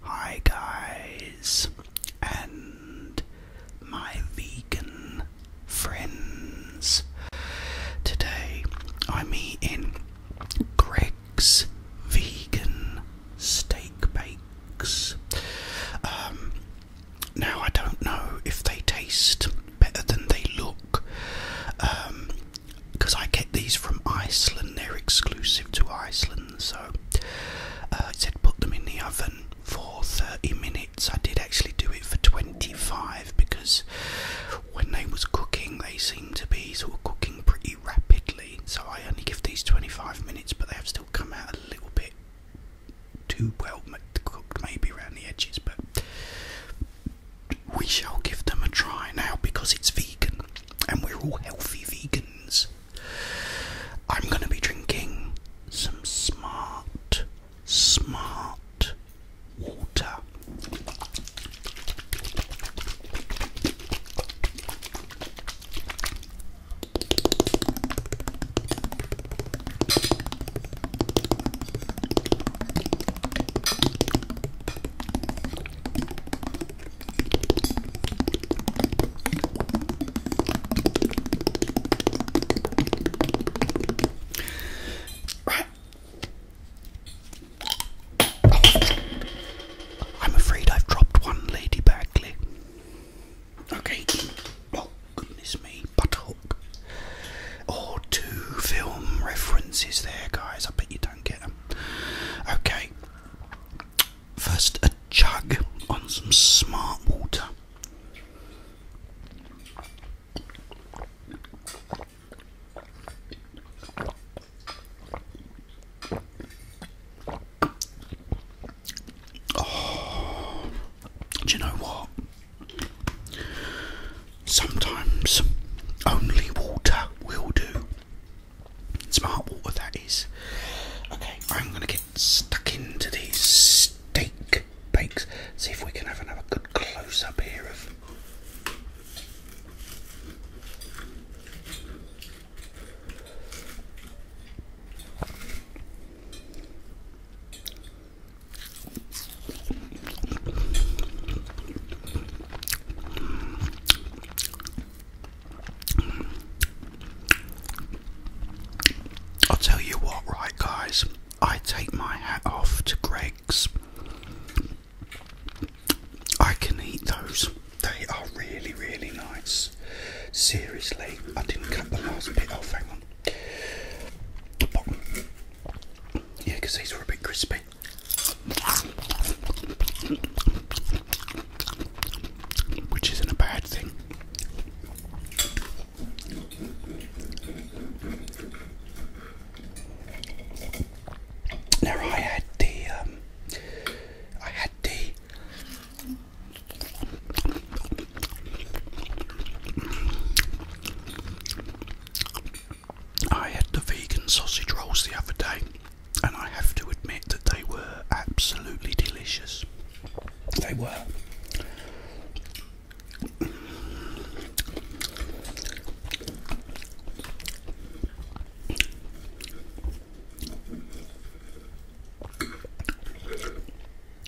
Hi guys, and my vegan friends. Today I'm eating Greg's Vegan Steak Bakes. Um, now I don't know if they taste better than they look, because um, I get these from Iceland. They're exclusive to Iceland. So uh, said put them in the oven for 30 minutes. I did actually do it for 25 because when they was cooking, they seemed to be sort of cooking pretty rapidly. So I only give these 25 minutes, but they have still come out a little bit too well cooked, maybe around the edges. But we shall give them a try now because it's vegan and we're all healthy vegans. I'm going to be drinking some smart, smart water. Right. I'm afraid I've dropped one, Lady Bagley. Okay. Oh, goodness me. Butthook. Or oh, two film references there, guys. I bet you don't get them. Okay. First, a jug on some smart water. Oh, do you know what? Sometimes only water will do. Smart water, that is. Okay, I'm going to get stuck into these steak bakes. See if we can have another good close up here of. I'll tell you what, right, guys, I take my hat off to Greg's. I can eat those, they are really, really nice. Seriously, I didn't cut the last bit off, hang on. Yeah, because these were a bit crispy. Which isn't a bad thing. Now I had the um, I had the I had the vegan sausage rolls the other day and I have to admit that they were absolutely delicious. They were.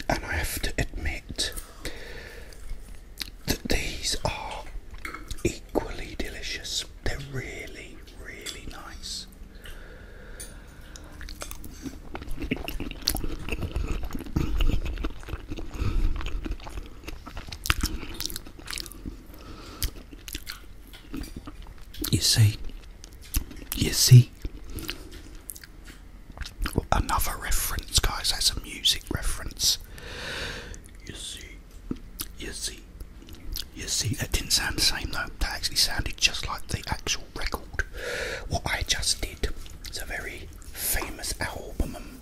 And I have to admit that these are equally delicious. They're really, really nice. You see, you see, another reference, guys. That's a music reference. You see, you see, you see, that didn't sound the same though. That actually sounded just like the actual record. What I just did. It's a very famous album.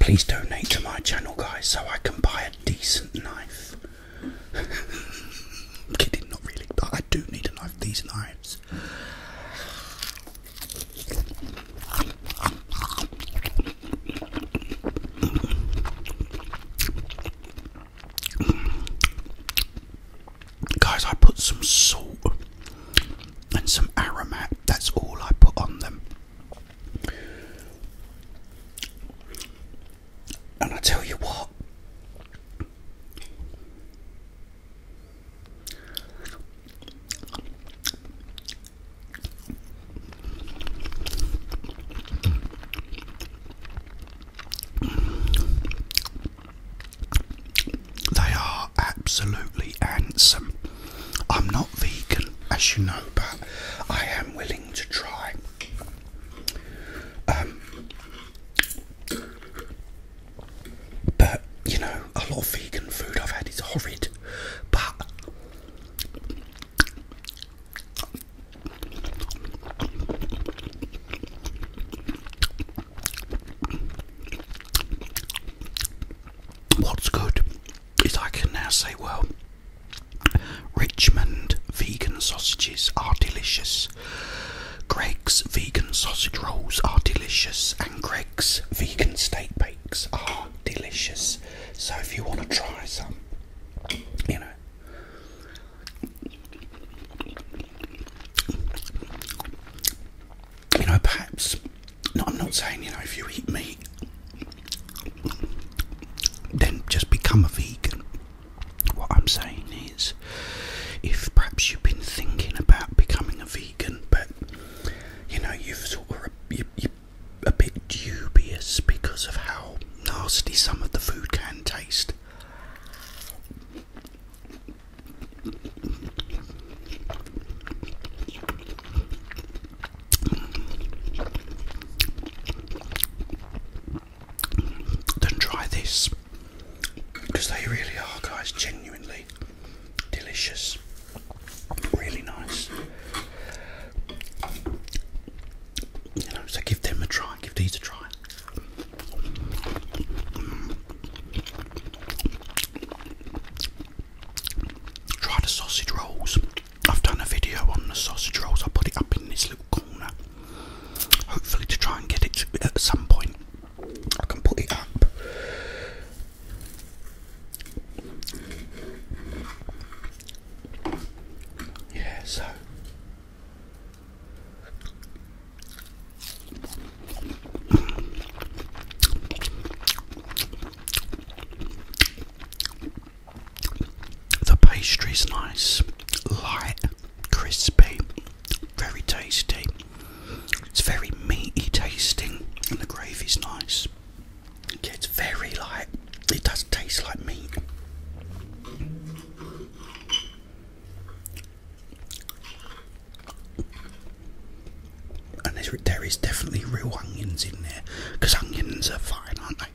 Please donate to my channel, guys, so I can buy a decent knife. i kidding, not really, but I do need a knife. These knives. Guys, I put some salt and some aromat, that's all I put on them. And I tell you what, they are absolutely handsome. I'm not vegan, as you know, but I am willing to try. Um, but you know, a lot of vegan food I've had is horrid. But what's good is I can now say, well, Richmond vegan sausages are delicious. Greg's vegan sausage rolls are delicious, and Greg's vegan steak bakes are delicious. So if you want to try some, you know. You know, perhaps. I'm not saying, you know, if you eat meat, then just become a vegan. What I'm saying is, if perhaps you've been thinking about becoming a vegan, but you know you've sort of are a bit dubious because of how nasty some of the food can taste. Then try this because they really are, guys, genuinely delicious, really nice. You know, so give them a try, give these a try. Try the sausage rolls. I've done a video on the sausage rolls. I put it up in this little corner, hopefully to try and get it at some point I can put it up. Yeah, so the pastry's nice, light, crispy, very tasty. It's very meaty tasting, and the gravy's nice. it's very light. it does taste like meat. And there is definitely real onions in there because onions are fine, aren't they?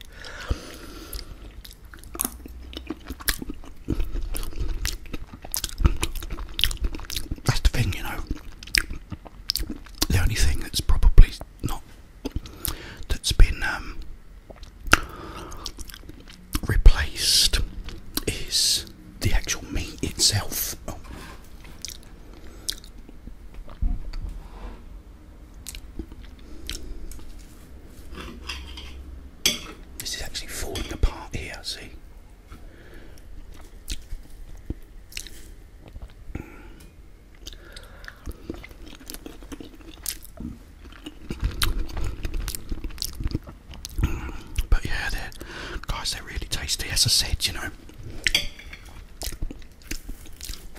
That's the thing, you know. The only thing that's probably not that's been um, replaced is the actual meat itself. This is actually falling apart here, see? But yeah, guys, they're really tasty. As I said, you know,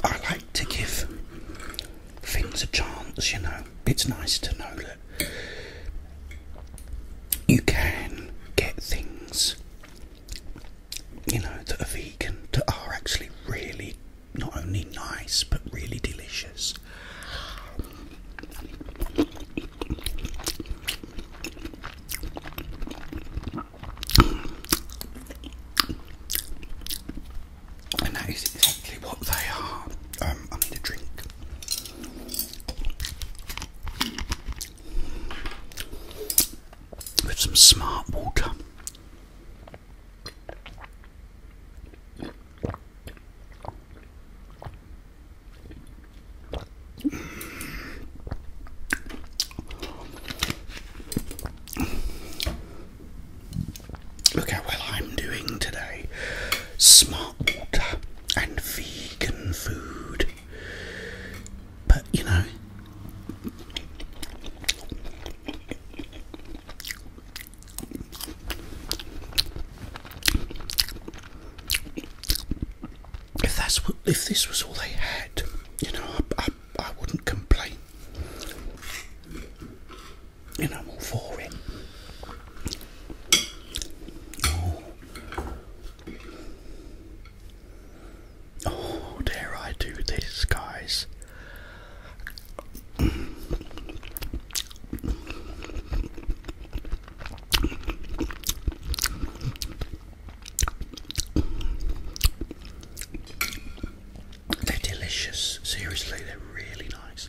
I like to give things a chance, you know it's nice to know that you can get things, you know, that are vegan that are actually really not only nice but really delicious. And that is exactly what they are. Um, I need a drink with some smart water. Look well I'm doing today. Smart water and vegan food. But you know, if that's what, if this was all they had, you know, I, I, I wouldn't complain and I'm all for it. Oh, oh. dare I do this, guys? They're delicious, seriously, they're really nice.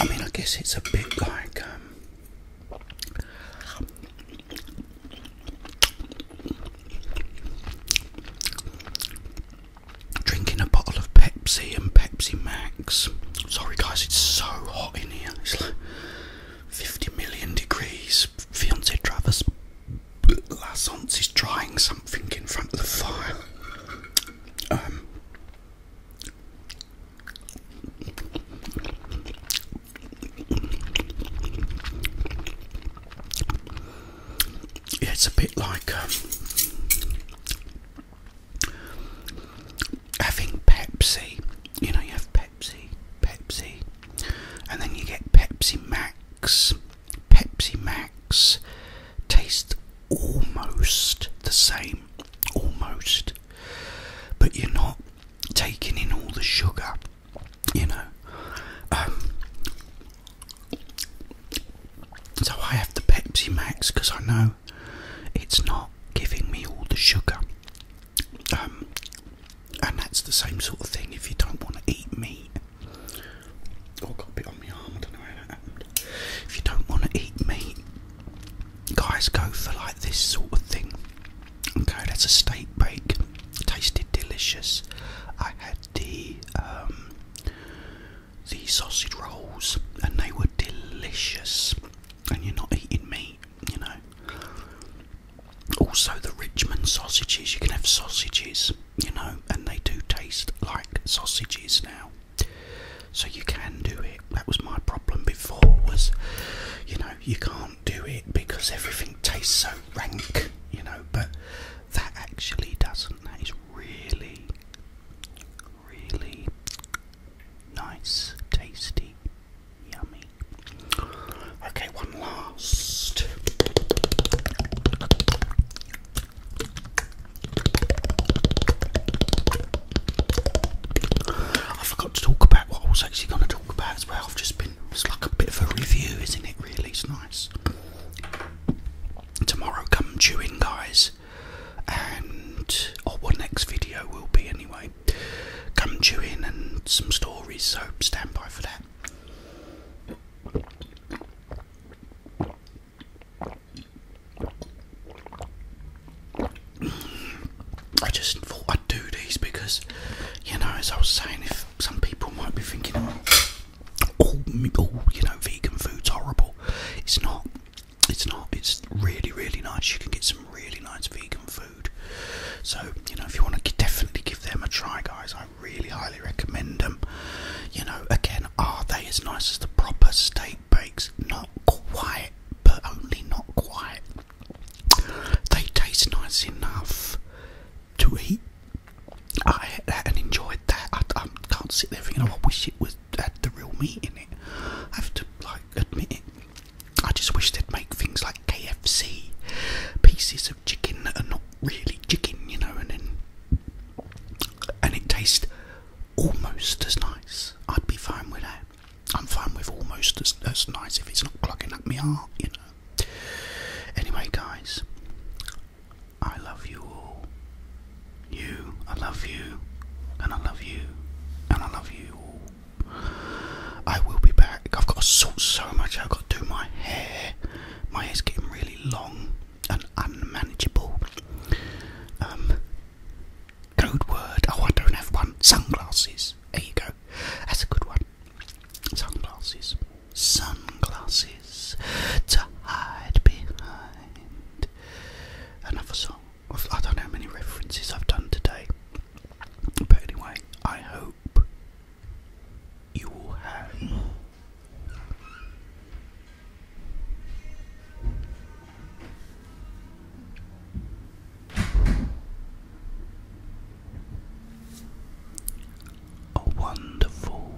I mean, I guess it's a bit like um, drinking a bottle of Pepsi and Pepsi Max. Sorry, guys, it's so hot in here. It's like 50 million degrees. Fiance Travis. Lassance is trying something in front of the fire. Um, it's a bit like um, having Pepsi. You know, you have Pepsi, Pepsi, and then you get Pepsi Max, Pepsi Max tastes almost the same, almost, but you're not taking in all the sugar, you know. Um, so I have the Pepsi Max because I know it's not giving me all the sugar. Um, and that's the same sort of thing if you don't want to eat meat Oh, got a bit on my arm. I don't know how that happened. If you don't want to eat meat, guys, go for like this sort of thing. Okay, that's a steak bake. tasted delicious. I had the um, the sausage rolls, and they were delicious. And you're not eating meat, you know. Also, the Richmond sausages. You can have sausages you know, and they do taste like sausages now. So you can do it. That was my problem before was, you know, you can't do it because everything tastes so rank, you know, but that actually doesn't. That is really, really nice, tasty, yummy. Okay, one last. I forgot to talk about what I was actually going to talk about as well. I've just been, it's like a bit of a review, isn't it? Really, it's nice. Tomorrow, come chew in, guys, and or oh, what next video will be anyway. Come chew in and some stories, so stand by for that. I just thought I'd do these because, you know, as I was saying, if some people might be thinking, oh, oh, you know, vegan food's horrible. It's not. It's not. It's really, really nice. You can get some really nice vegan food. So, you know, if you want to definitely give them a try, guys, I really highly recommend them. You know, again, are they as nice as the proper steak breaks? Not quite, but only not quite. They taste nice enough to eat. I ate that and enjoyed that. I, can't sit there thinking, oh, I wish it was had the real meat in it. I have to like admit it. I just wish they'd make things like KFC pieces of chicken that are not really chicken, you know, and and it tastes almost as nice. I'd be fine with that. I'm fine with almost as, as nice if it's not clogging up my heart, you know. Anyway, guys, I love you all. You, I love you, and I love you, and I love you I will be back. I've got to salt so much. I've got to do my hair. My hair's getting really long an unmanageable um, code word. Oh, I don't have one. Sunglasses. There you go. That's a good one. Sunglasses. Sunglasses to hide behind. Another song. I don't know how many references I've done today. But anyway, I hope you have. A wonderful,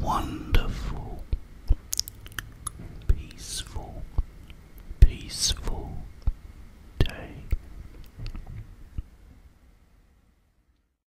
wonderful, peaceful, peaceful day.